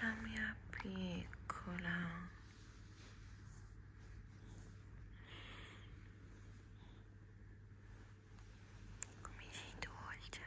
la mia piccola come sei dolce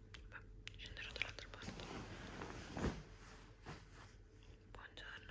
Vabbè, scenderò dall'altra parte. Buongiorno.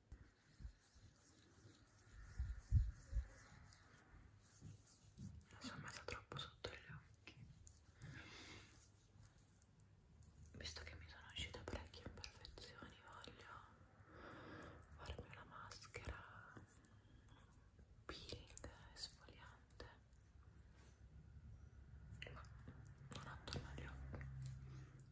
mi sono messa troppo sotto gli occhi visto che mi sono uscite parecchie imperfezioni voglio farmi una maschera peeling esfoliante ma non attorno agli occhi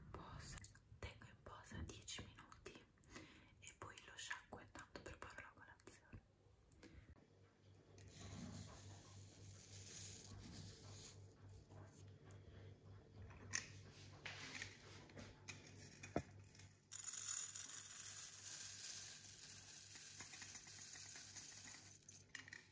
in posa tengo in posa 10 minuti e poi lo sciacquo intanto preparo la colazione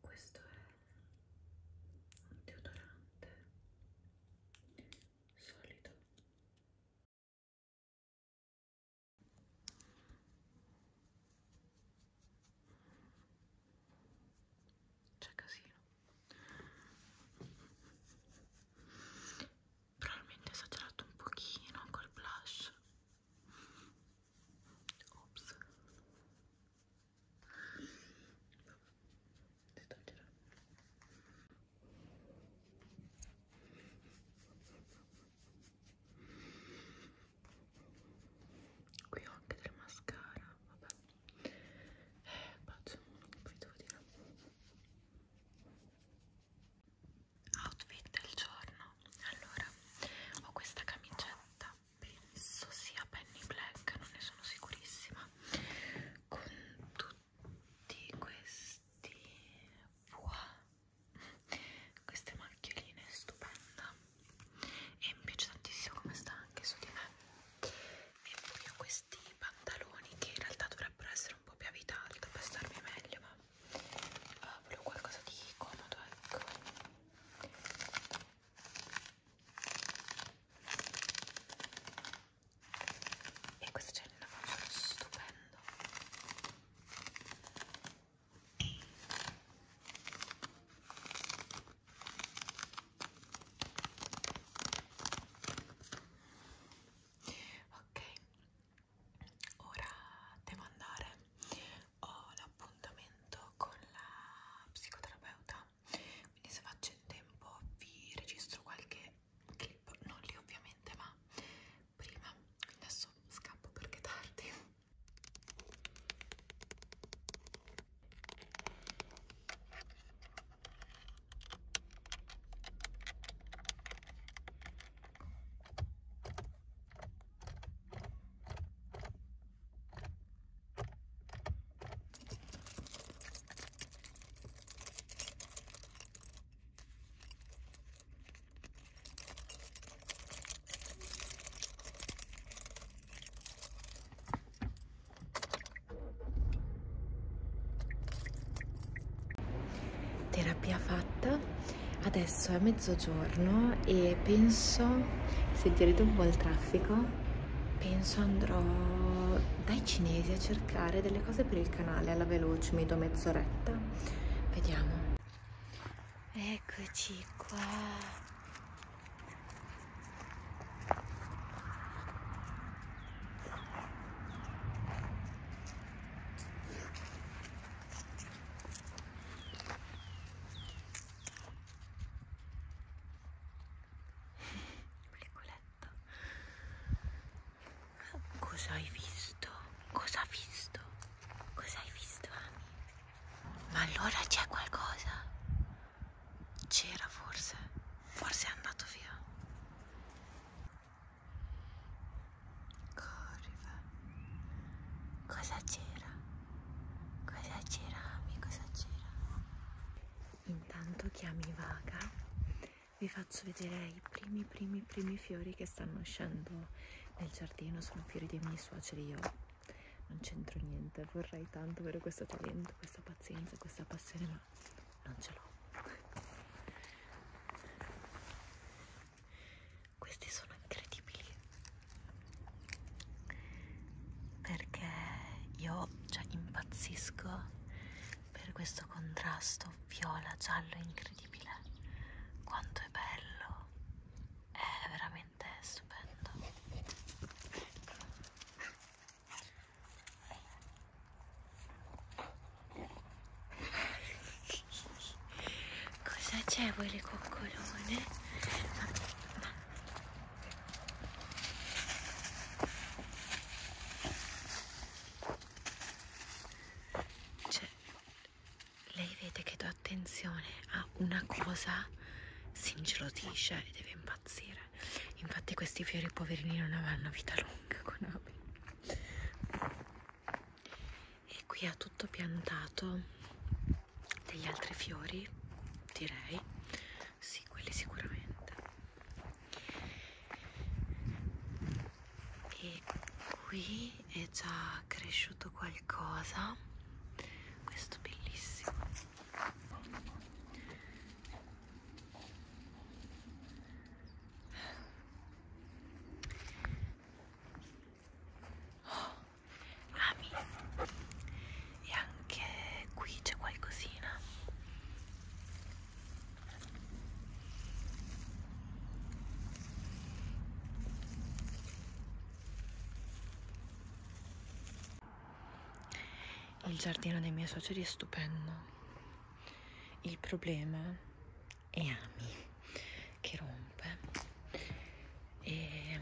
Questo è un deodorante solido c'è casino. Probabilmente ho esagerato un pochino col blush. Ops. Devo toglierlo qui ho anche del mascara vabbè eh, bacio, qui devo dire outfit del giorno allora ho questa camicetta penso sia penny black non ne sono sicurissima con tutti tutti questi wow, queste macchioline stupenda e mi piace tantissimo come sta anche su di me e poi ho questi pantaloni che in realtà dovrebbero essere un po' più a vita alta per starmi meglio ma uh, volevo qualcosa di comodo ecco e questo c'è un lavoro stupendo ok ora devo andare ho l'appuntamento con la psicoterapeuta quindi se faccio in tempo vi registro qualche clip, non lì ovviamente, ma prima, adesso scappo perché è tardi. Terapia fatta, adesso è mezzogiorno e penso, sentirete un po' il traffico, penso andrò dai cinesi a cercare cercare delle cose per il canale alla veloce, mi do mezz'oretta. Vediamo. Eccoci qua. Cosa hai visto? Cosa hai visto? Cosa hai visto, Ami? Ma allora c'è qualcosa? C'era forse. Forse è andato via. Corriva. Cosa c'era? Cosa c'era, Ami? Cosa c'era? Intanto chiami Vaga vi faccio vedere i primi primi primi fiori che stanno uscendo nel giardino sono fiori dei miei suoceri io non c'entro niente vorrei tanto avere questo talento questa pazienza questa passione ma non ce l'ho questi sono incredibili perché io cioè impazzisco per questo contrasto viola-giallo incredibile. Quanto è bello! È veramente stupendo. Cosa c'è voi le coccolone? Ma, ma. Cioè, lei vede che do attenzione a una cosa, si ingelosisce e deve impazzire. Infatti questi fiori poverini non avranno vita lunga con Abi. E qui ha tutto piantato degli altri fiori, direi. Sì, quelli sicuramente e qui è già cresciuto qualcosa questo bellissimo oh, ami e anche qui c'è qualcosina il giardino dei miei suoceri è stupendo. Il problema è Ami che rompe. E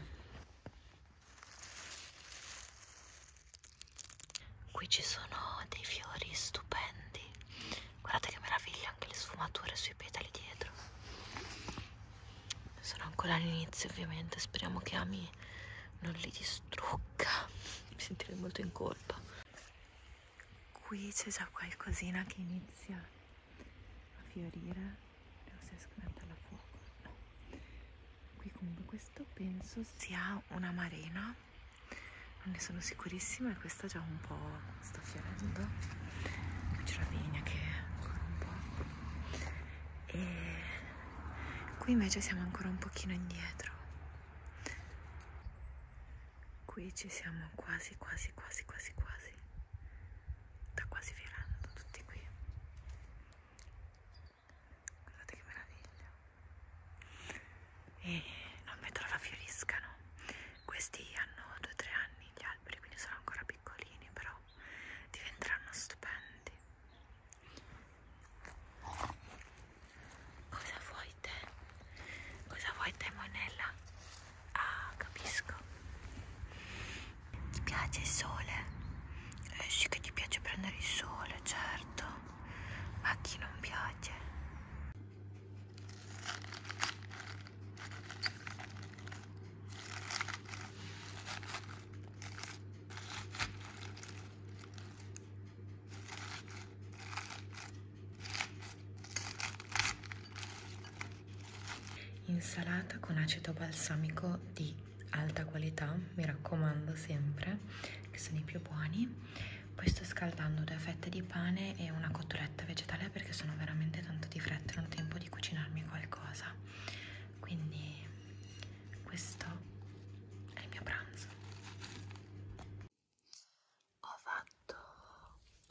Qui ci sono dei fiori stupendi. Guardate che meraviglia anche le sfumature sui petali dietro. Sono ancora all'inizio ovviamente, speriamo che Ami non li distrugga. Mi sentirei molto in colpa. Qui c'è già qualcosina che inizia a fiorire. Non si riesco a metterla a fuoco. No. Qui comunque questo penso sia una marena non ne sono sicurissima e questa già un po' sta fiorendo c'è la vigna che ancora un po' e qui invece siamo ancora un pochino indietro qui ci siamo quasi quasi quasi quasi quasi sta quasi fiorando tutti qui guardate che meraviglia e non vedo la fioriscano questi hanno 2-3 anni gli alberi quindi sono ancora piccolini però diventeranno stupendi cosa vuoi te? cosa vuoi te Monella? ah capisco ti piace il sole? Eh sì che ti piace prendere il sole certo a chi non piace insalata con aceto balsamico di alta qualità mi raccomando sempre che sono i più buoni poi sto scaldando due fette di pane e una cotoletta vegetale perché sono veramente tanto di fretta e non ho tempo di cucinarmi qualcosa. Quindi questo è il mio pranzo. Ho fatto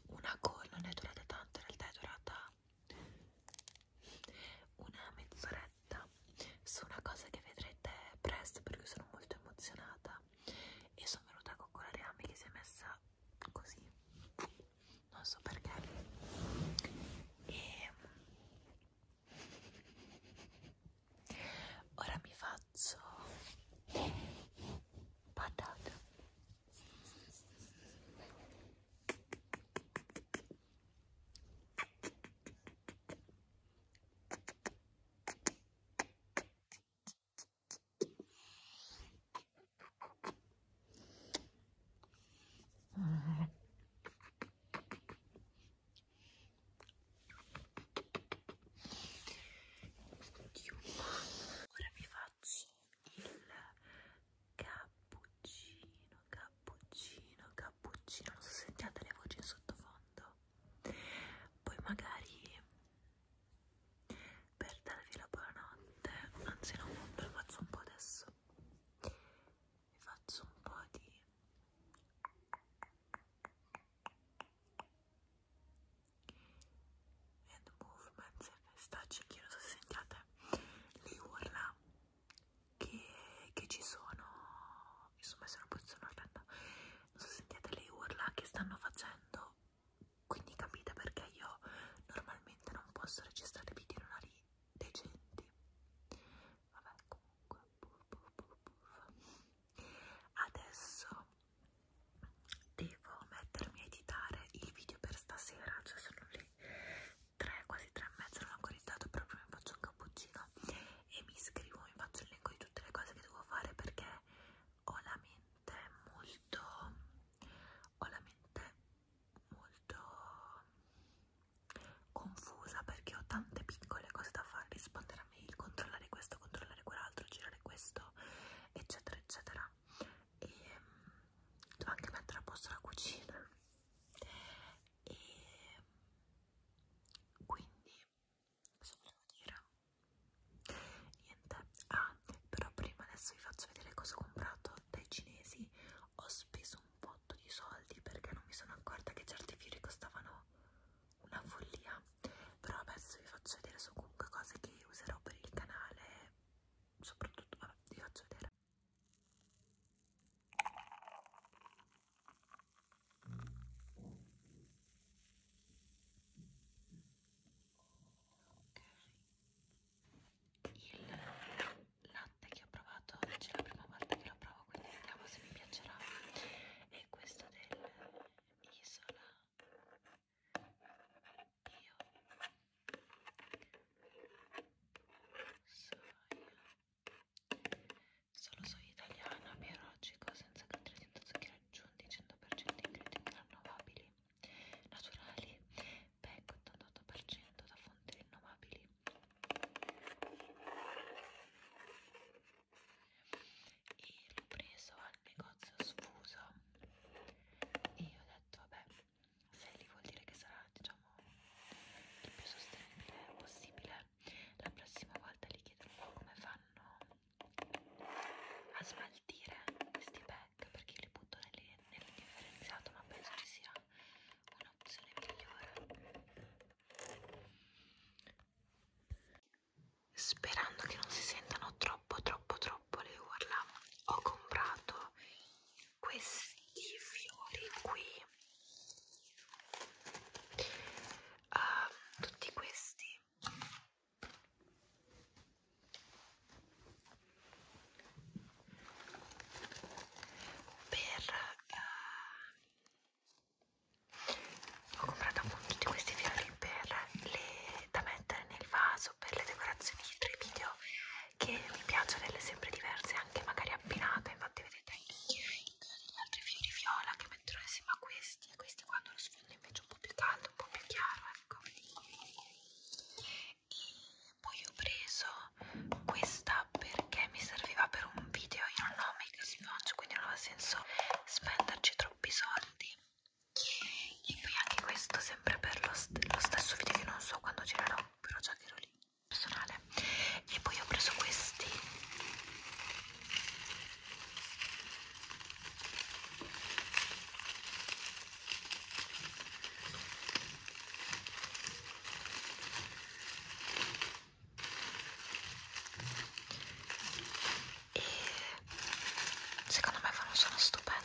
una call, non è durata tanto, in realtà è durata una mezz'oretta su una cosa che vedrete presto perché sono molto emozionata casa e sono venuta con quella reame che si è messa così non so perché e mm, ora mi faccio patata Ora vi faccio il cappuccino, cappuccino, cappuccino. Non so se sentiate le voci in sottofondo poi magari per darvi la buonanotte anzi no, ve lo faccio un po' adesso vi faccio un po' di hand movements e stacci che non so se sentiate le urla che, che ci sono insomma sono posizione aspetta non so se sentite le urla che stanno facendo quindi capite perché io normalmente non posso registrare video in orari decenti vabbè comunque adesso devo mettermi a editare il video per stasera cioè sono le 3 quasi 3 e mezza non ho ancora editato però prima mi faccio un cappuccino e mi scrivo, mi faccio il elenco di tutte le cose che devo fare perché ho la mente molto ho la mente molto confusa perché ho tante piccole cose da fare, rispondere a mail, controllare questo, controllare quell'altro, girare questo, eccetera, eccetera. E mm, devo anche mettere a posto la cucina. E quindi cosa volevo dire? Niente, ah, però prima adesso vi faccio vedere cosa ho comprato dai cinesi. Ho speso un botto di soldi perché non mi sono accorta che certi fiori costavano una follia. Però adesso vi faccio vedere su comunque cose che userò per il canale. Soprattutto, vabbè, vi faccio vedere il latte che ho provato oggi è la prima volta che lo provo quindi vediamo se mi piacerà e questo dell'isola io soia Solo soia italiana, biologico, senza contenuto zucchero aggiunti, 100% ingredienti rinnovabili, naturali, PEC 88% da fonti rinnovabili. E l'ho preso al negozio sfuso e ho detto vabbè, se lì vuol dire che sarà diciamo il più sostenibile possibile, la prossima volta li chiedo un po' come fanno a smaltire questi pack perché io li butto nel, nel differenziato ma penso ci sia un'opzione migliore sperando che non si sentano troppo troppo troppo le urla ho comprato questi fiori qui uh, tutti questi per uh, ho comprato appunto tutti questi fiori per le, da mettere nel vaso per le decorazioni di tre video che mi piacciono delle sempre diverse anche magari abbinate infatti vedete pink, degli altri fiori viola che metterò insieme a questi e questi quando lo sfondo invece un po' più caldo, un po' più chiaro, ecco. E poi ho preso questa perché mi serviva per un video, io non ho make up sponge, quindi non aveva senso spenderci troppi soldi. E poi anche questo sempre per lo, st lo stesso video che non so quando girerò, però già che ero lì personale. E poi ho preso questi e secondo me fa un suono stupendo.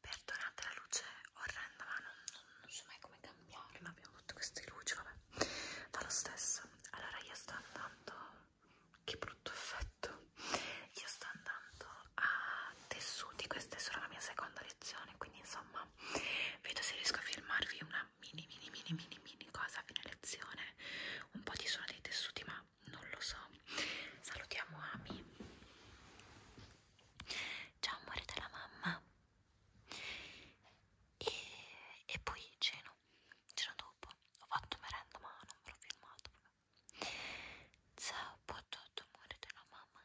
Perdonate la luce orrenda, ma non, non, non so mai come cambiare. Ma abbiamo tutte queste luci, vabbè. Ma lo stesso, allora io sto andando. Che brutto effetto! Io sto andando a tessuti, questa è solo la mia seconda lezione, quindi insomma no vedo se riesco a filmarvi una mini mini mini mini mini cosa a fine lezione un po' di suono dei tessuti ma non lo so salutiamo Ami ciao amore della mamma e, e poi ceno ceno dopo ho fatto merenda ma non me l'ho filmato ciao a tutto amore della mamma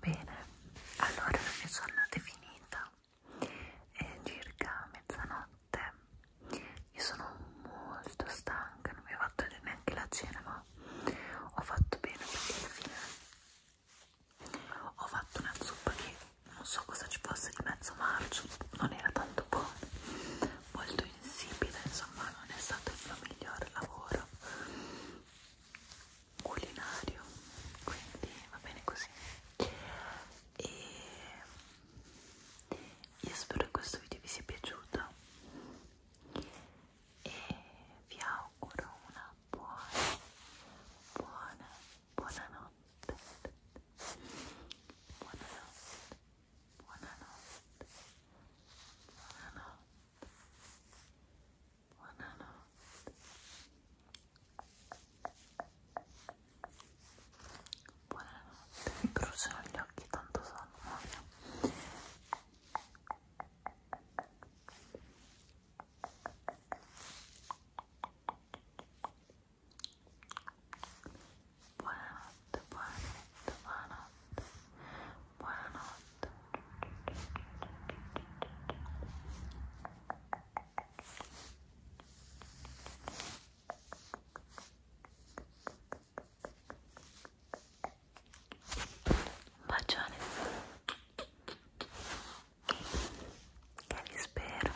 Bene, allora la mia giornata è finita, è circa mezzanotte, io sono molto stanca, non mi ho fatto neanche la cena, ma ho fatto bene perché alla fine ho fatto una zuppa che non so cosa ci fosse di mezzo marcio, non era tanto buona molto insipida, insomma non è stato il mio miglior lavoro culinario, quindi va bene così. E io spero che questo video vi sia piaciuto e vi auguro una buona, buona, buona notte. Buona notte. banana banana banana gli occhi tanto sonno, Buonanotte, buonanotte, buonanotte, buonanotte. Un bacione. Che vi spero.